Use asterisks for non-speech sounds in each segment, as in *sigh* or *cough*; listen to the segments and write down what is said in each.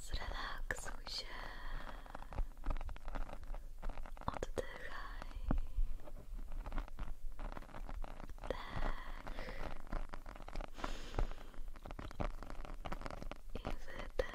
Zrelaksuj się. Oddychaj. Dech. I wydech. Dech.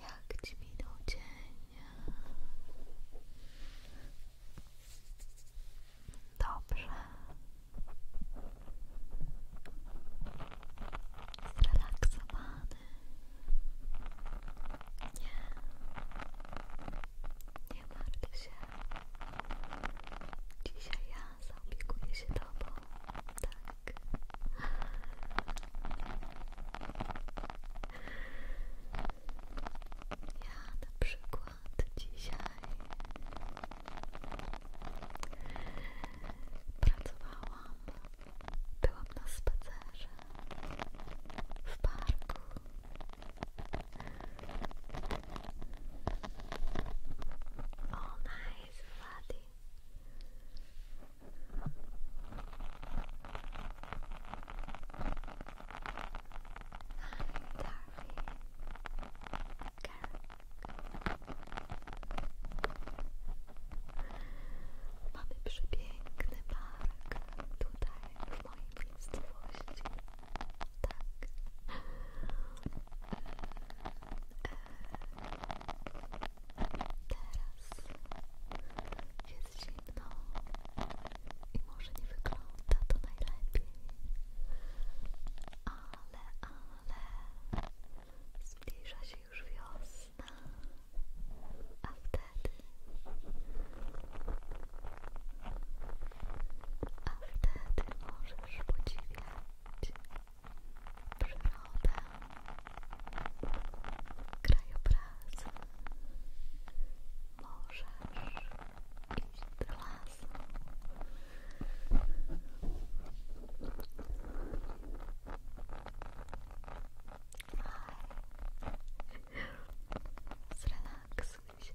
Jak ci minął Dobrze. Zrelaksowany. Nie. Nie martw się. Dzisiaj ja zaopiekuję się tobą. Tak. Ja na przykład dzisiaj pracowałam, byłam na spacerze w parku Oh, nice, Vladi. Hi, Darby. Mamy przepiękny park tutaj w mojej miejscowości. Teraz jest zimno i może nie wygląda to najlepiej, ale, ale zbliża się już wiosna, a wtedy wtedy możesz podziwiać przyrodę, krajobraz, możesz iść do lasu. Zrelaksuj się.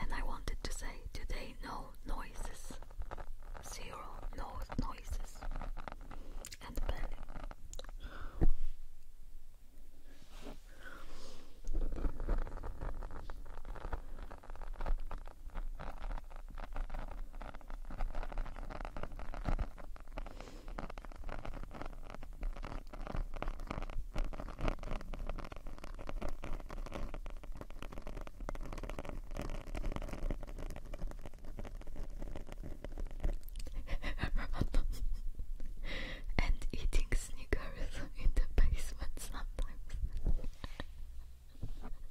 And I wanted to say today no noises. Zero no noises. And belly. *laughs* and eating sneakers in the basement sometimes. *laughs*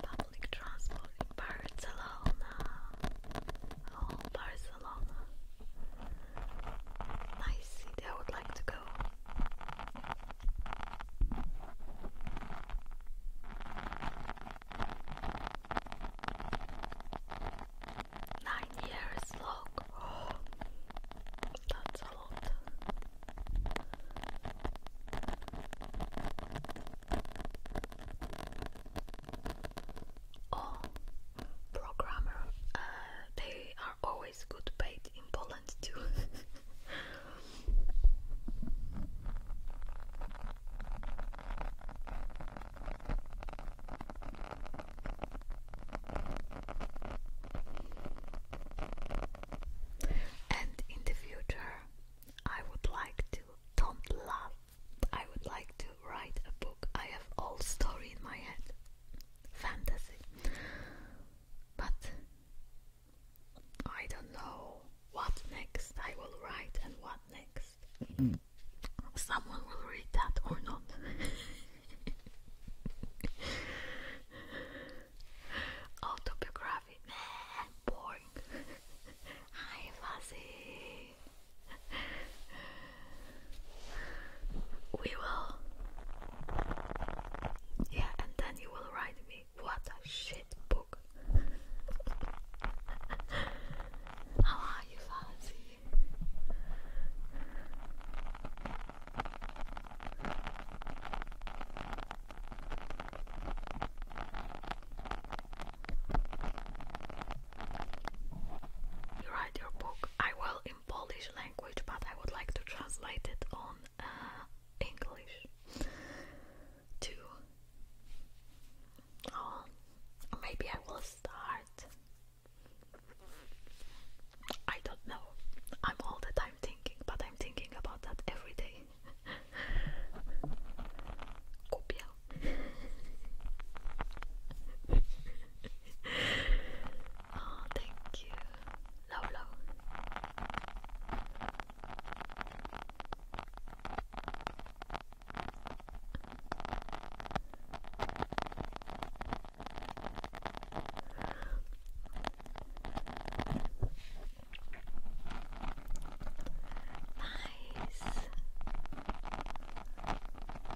Public transport in Barcelona. Oh, Barcelona a llama. Nice I would like to go. Nine years long. Oh, that's a lot or programmer. Uh, they are always good paid in Poland too. and in the future, I would like to don't laugh. I would like write a book. I have all story in my head. Fantasy. But I don't know what next I will write and what next. Mm. Someone will read that or not. *laughs* Autobiography. Boring. *laughs* Hi, Fuzzy we will. Yeah, and then you will write me. What a shit book. *laughs* How are you, Fuzzy? You write your book. I will in Polish language, but I would like to translate it on uh, English too. Oh, maybe I will start. I don't know. I'm all the time thinking, but I'm thinking about that every day. *laughs* Kupię. *laughs* *laughs* oh, thank you. Love, Nice.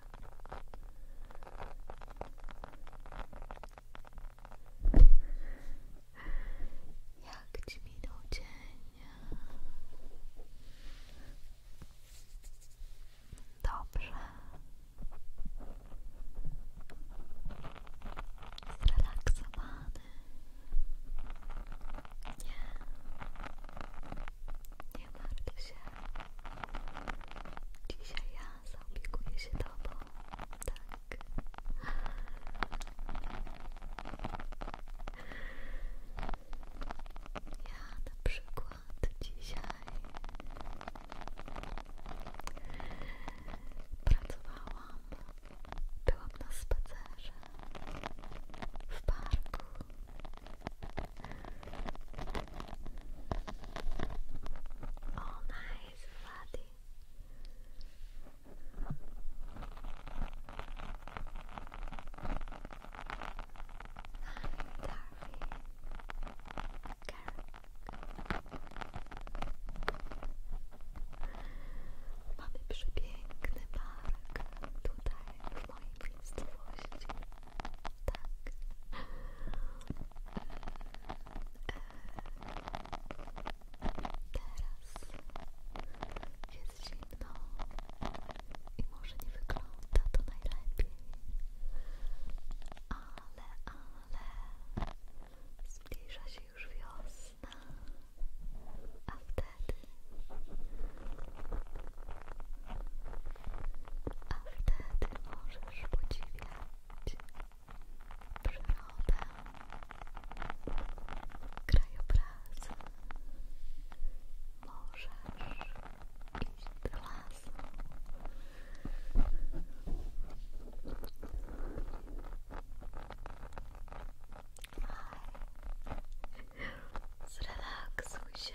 Jak ci minął dzień? Dobrze. Zrelaksowany. Nie. Nie martw się. Dzisiaj ja zaopiekuję się tak. Ja na przykład dzisiaj pracowałam, byłam na spacerze w parku. Oh, nice, buddy. Hi, Darby. Mamy przepiękny park tutaj w mojej miejscowości. Tak. E, teraz jest zimno i może nie wygląda to najlepiej, ale, ale zbliża się już wiosna, a wtedy a wtedy możesz podziwiać przyrodę, krajobraz, możesz iść do lasu. Zrelaksuj się.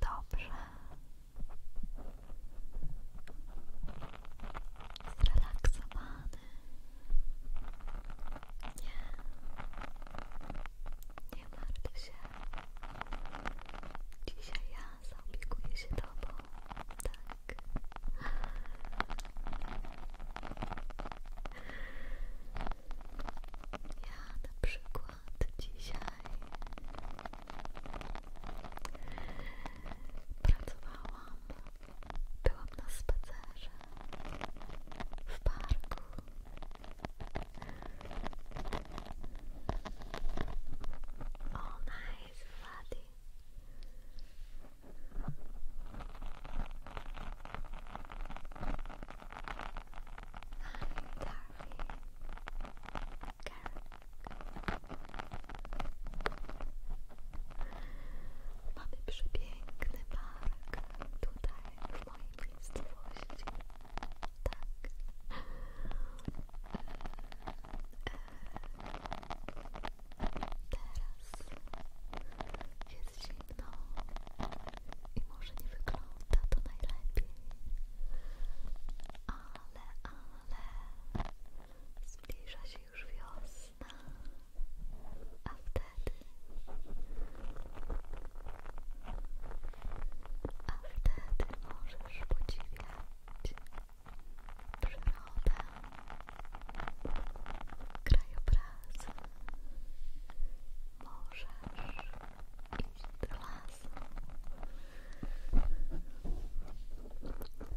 Dobrze. Zrelaksowany. Nie. Nie martw się. Dzisiaj ja zaopiekuję się tobą. Tak. Ja na przykład dzisiaj pracowałam, byłam na spacerze w parku. Oh nice, Vladi. Mamy przepiękny park tutaj w mojej miejscowości. Tak. E, e, teraz zimno i może nie wygląda to najlepiej, ale, ale zbliża się już wiosna, a wtedy, a wtedy możesz podziwiać przyrodę krajobraz możesz iść do lasu Dobrze.